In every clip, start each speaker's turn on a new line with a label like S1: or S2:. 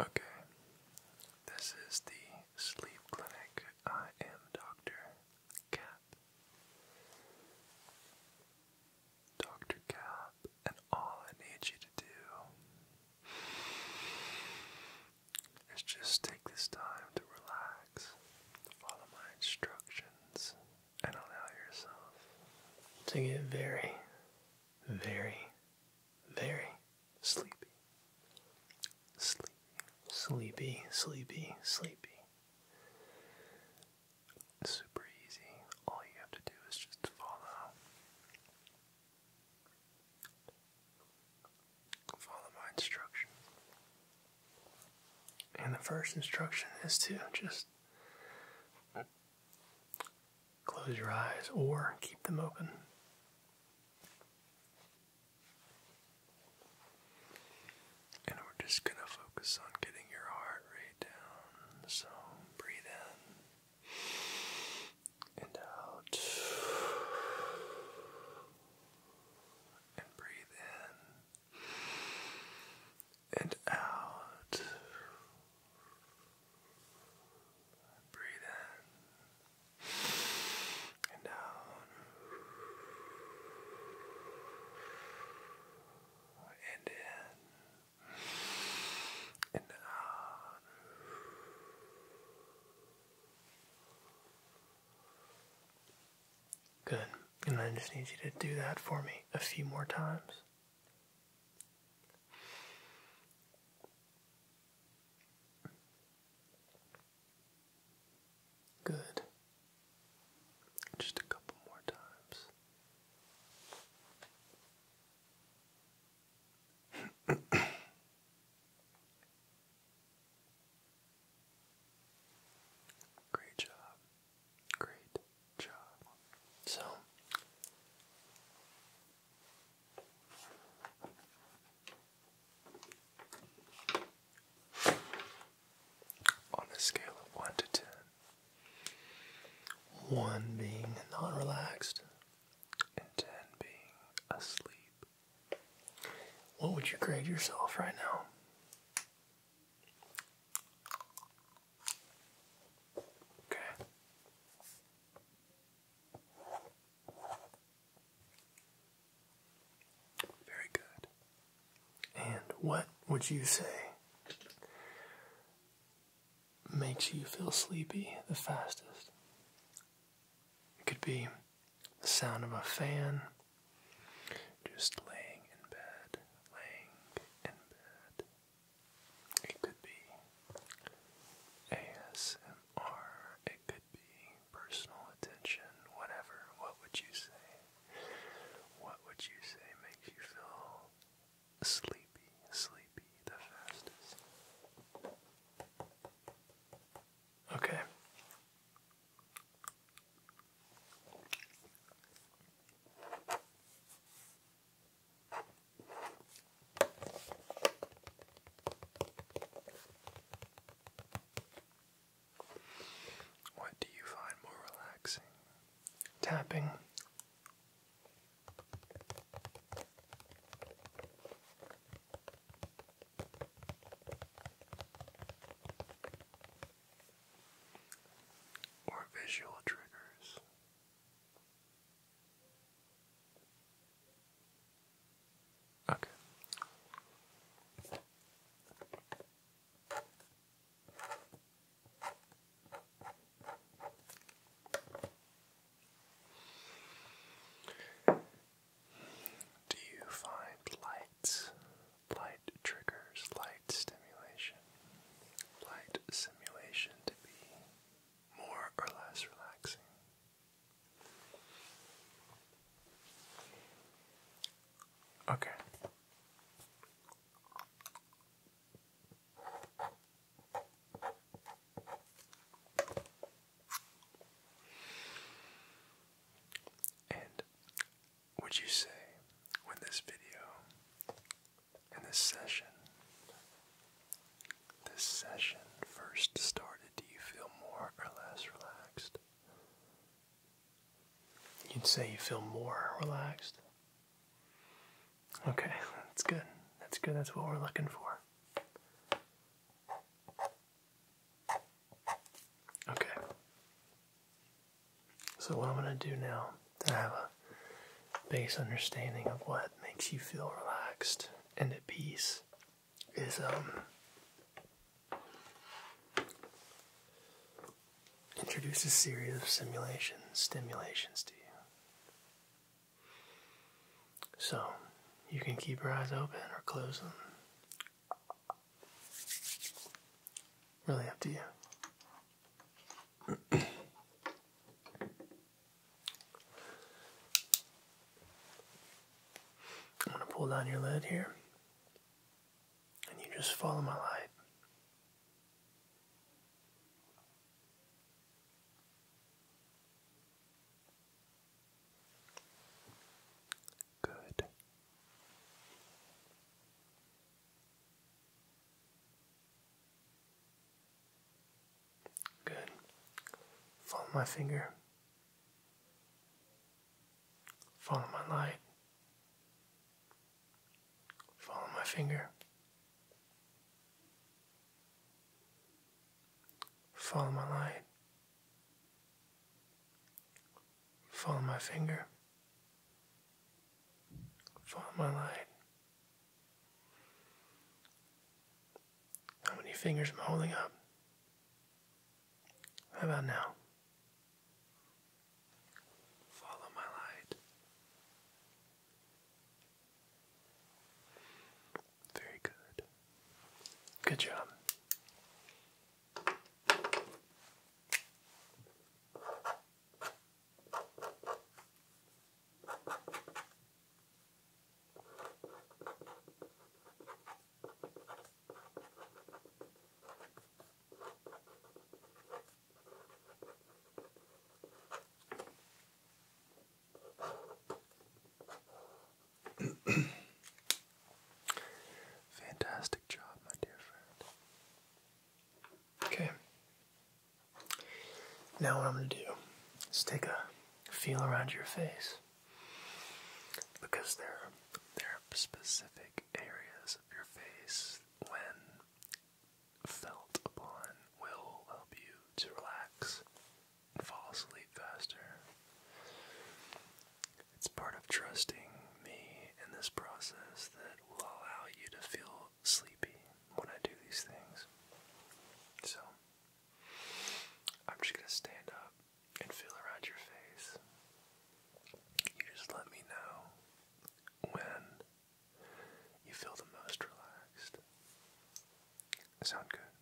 S1: Okay, this is the sleep clinic. I am Dr. Cap. Dr. Cap, and all I need you to do is just take this time to relax, follow my instructions, and allow yourself to get very, very very sleepy. Sleepy, sleepy, sleepy, sleepy. Super easy. All you have to do is just follow. Follow my instructions. And the first instruction is to just Close your eyes or keep them open. And we're just going to focus on getting your heart rate down. So breathe in and out. And breathe in and out. Breathe in and down and in and out. Good. And I just need you to do that for me a few more times. Good. Just a couple more times. Great job. Great job. So, on a scale of 1 to 10, 1 being not relaxed and 10 being asleep, what would you grade yourself right now? Okay. Very good. And what would you say makes you feel sleepy the fastest? It could be the sound of a fan, just laying in bed, laying in bed, it could be ASMR, it could be personal attention, whatever. What would you say? What would you say makes you feel sleepy, sleepy the fastest? Okay. What do you find more relaxing? Tapping. Or visual triggers. Okay. Do you find lights, light triggers, light stimulation, light simulation to be more or less relaxing. Okay. And would you say, when this video and this session, this session first started, do you feel more or less relaxed? You'd say you feel more relaxed? Okay, that's good. That's good. That's what we're looking for. Okay. So, what I'm going to do now to have a base understanding of what makes you feel relaxed and at peace is um introduce a series of simulations, stimulations to you. So you can keep your eyes open or close them. Really up to you. I'm going to pull down your lid here, and you just follow my light. Good. Good. Follow my finger. Follow my light. Follow my finger. Follow my light. Follow my finger. Follow my light. How many fingers am I holding up? How about now? Follow my light. Very good. Good job. Fantastic job, my dear friend. Okay. Now, what I'm going to do is take a feel around your face because there are, there are specific areas of your face when felt upon will help you to relax and fall asleep faster. It's part of trusting me in this process that will allow you to feel sleepy when I do these things. So, I'm just gonna stand up and feel around your face. You just let me know when you feel the most relaxed. Sound good?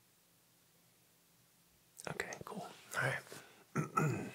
S1: Okay, cool. Alright.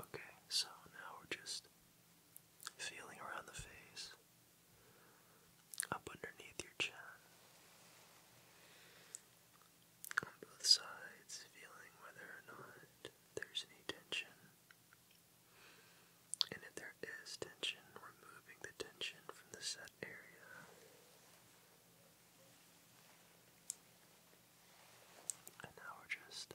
S1: Okay, so now we're just feeling around the face, up underneath your chin, on both sides, feeling whether or not there's any tension. And if there is tension, removing the tension from the set area. And now we're just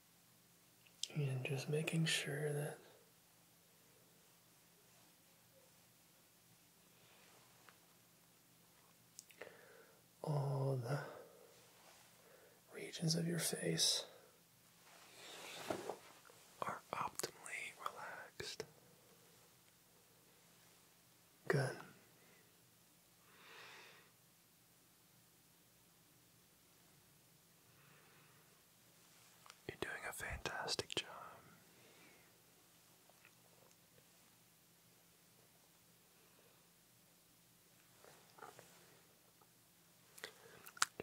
S1: And just making sure that all the regions of your face are optimally relaxed. Good. You're doing a fantastic job.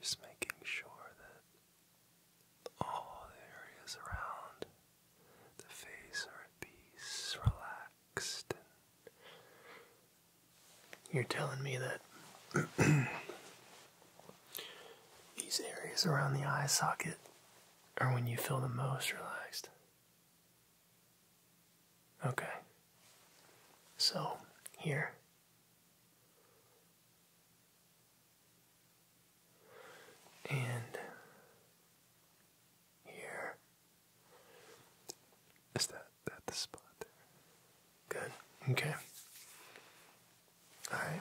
S1: Just making sure that all the areas around the face are at peace, relaxed you're telling me that these areas around the eye socket are when you feel the most relaxed. Okay. So, here. And here. Is that at, the spot there. Good. Okay. All right.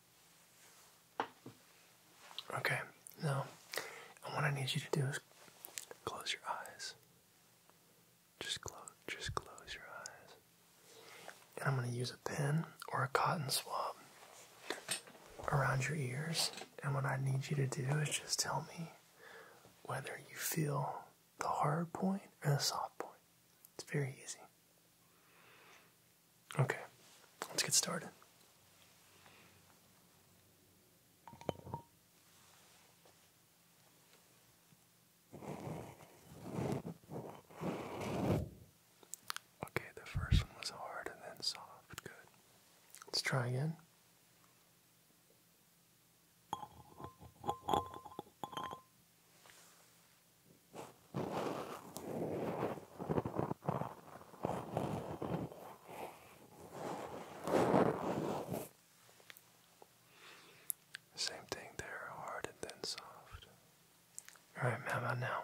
S1: Okay, now what I need you to do is close your eyes. Just close, just close your eyes. And I'm going to use a pin or a cotton swab around your ears. And what I need you to do is just tell me whether you feel the hard point or the soft point. It's very easy. Okay, let's get started. Okay, the first one was hard and then soft. Good. Let's try again. Same thing there, hard and then soft. All right, how about now?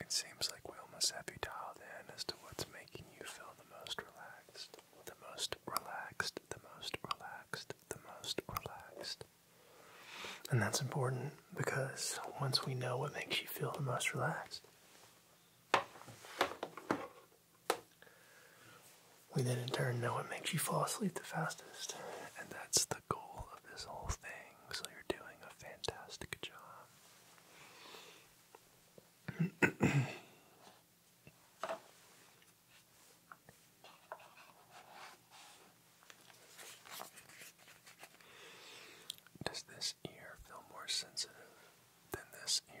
S1: It seems like we will must have you dialed in as to what's making you feel the most relaxed. The most relaxed, the most relaxed the most relaxed. And that's important because once we know what makes you feel the most relaxed, we then in turn know what makes you fall asleep the fastest. And that's the goal of this whole thing. So you're doing a fantastic job. Does this ear feel more sensitive than this ear?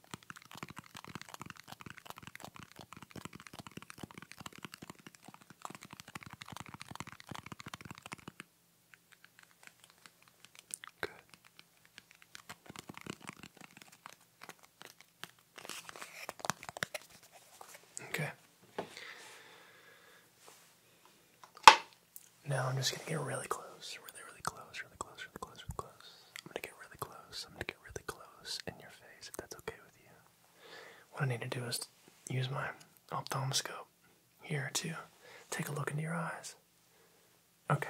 S1: Good. Okay. Now I'm just gonna get really close, really, really close, really close, really close, really close. I'm gonna get really close really close in your face if that's okay with you. What I need to do is use my ophthalmoscope here to take a look into your eyes. Okay.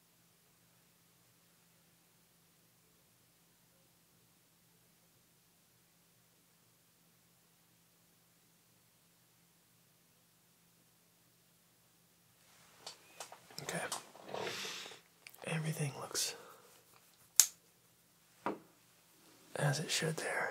S1: Okay. Everything looks as it should there.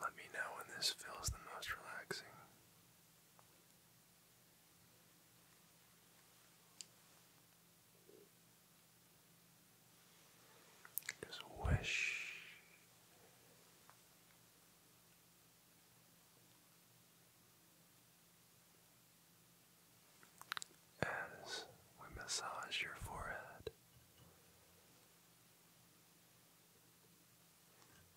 S1: Let me know when this feels the most relaxing. Just wish as we massage your forehead.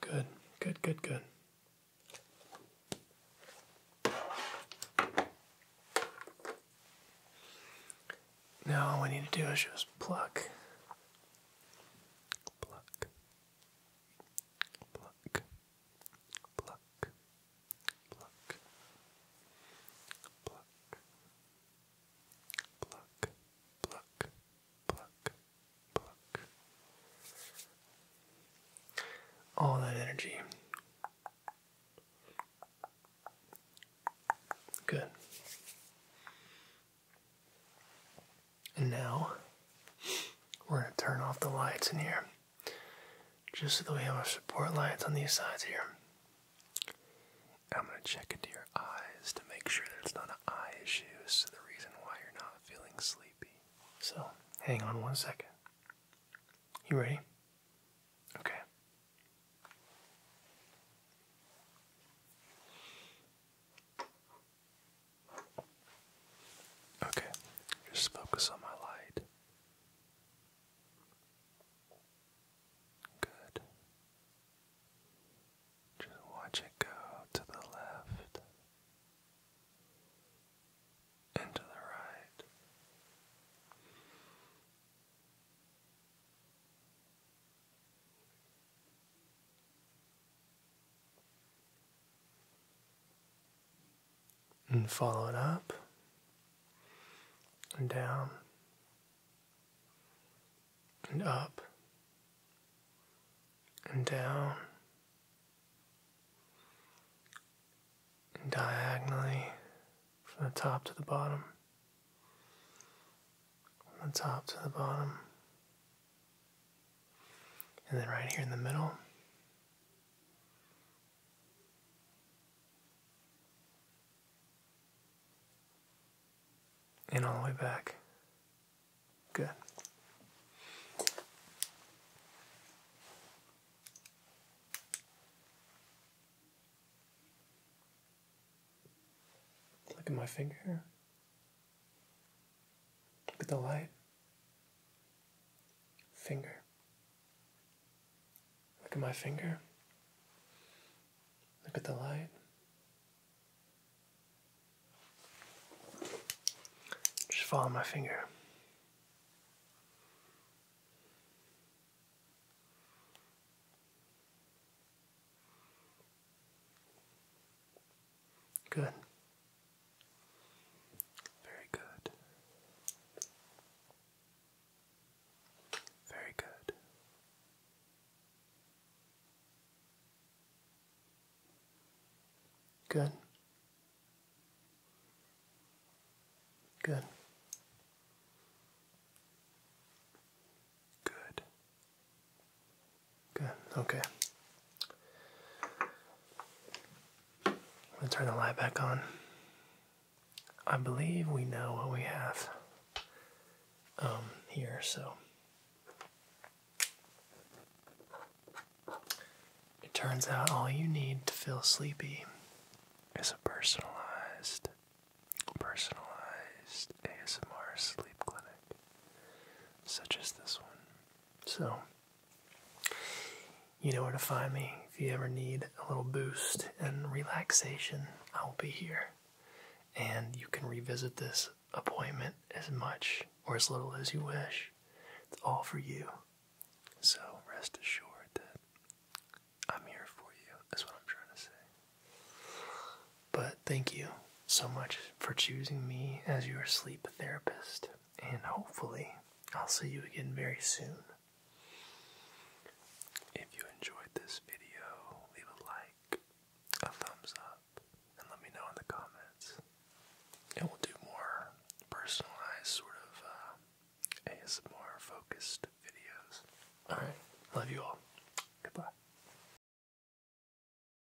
S1: Good, good, good, good. Now all we need to do is just pluck, pluck, pluck, pluck, pluck, pluck, pluck, pluck, pluck, pluck. All that energy. Good. And now we're going to turn off the lights in here, just so that we have a support lights on these sides here. I'm going to check into your eyes to make sure that it's not an eye issue, so the reason why you're not feeling sleepy. So, hang on one second. You ready? Okay. Okay, just focus on my light. Good. Just watch it go to the left and the right and follow it up and down and up and down and diagonally from the top to the bottom, from the top to the bottom, and then right here in the middle, and all the way back. Good. Look at my finger. Look at the light. Finger. Look at my finger. Look at the light. Just follow my finger. Good. Very good. Very good. Good. Good. Good. Good, okay. I'm turn the light back on. I believe we know what we have um, here, so. It turns out all you need to feel sleepy is a personalized, personalized ASMR sleep clinic, such as this one. So, you know where to find me. If you ever need a little boost and relaxation, I'll be here. And you can revisit this appointment as much or as little as you wish. It's all for you. So, rest assured that I'm here for you, That's what I'm trying to say. But thank you so much for choosing me as your sleep therapist, and hopefully, I'll see you again very soon. If you enjoyed this video, leave a like, a thumbs up, and let me know in the comments. And we'll do more personalized, sort of uh, ASMR focused videos. Alright, love you all. Goodbye.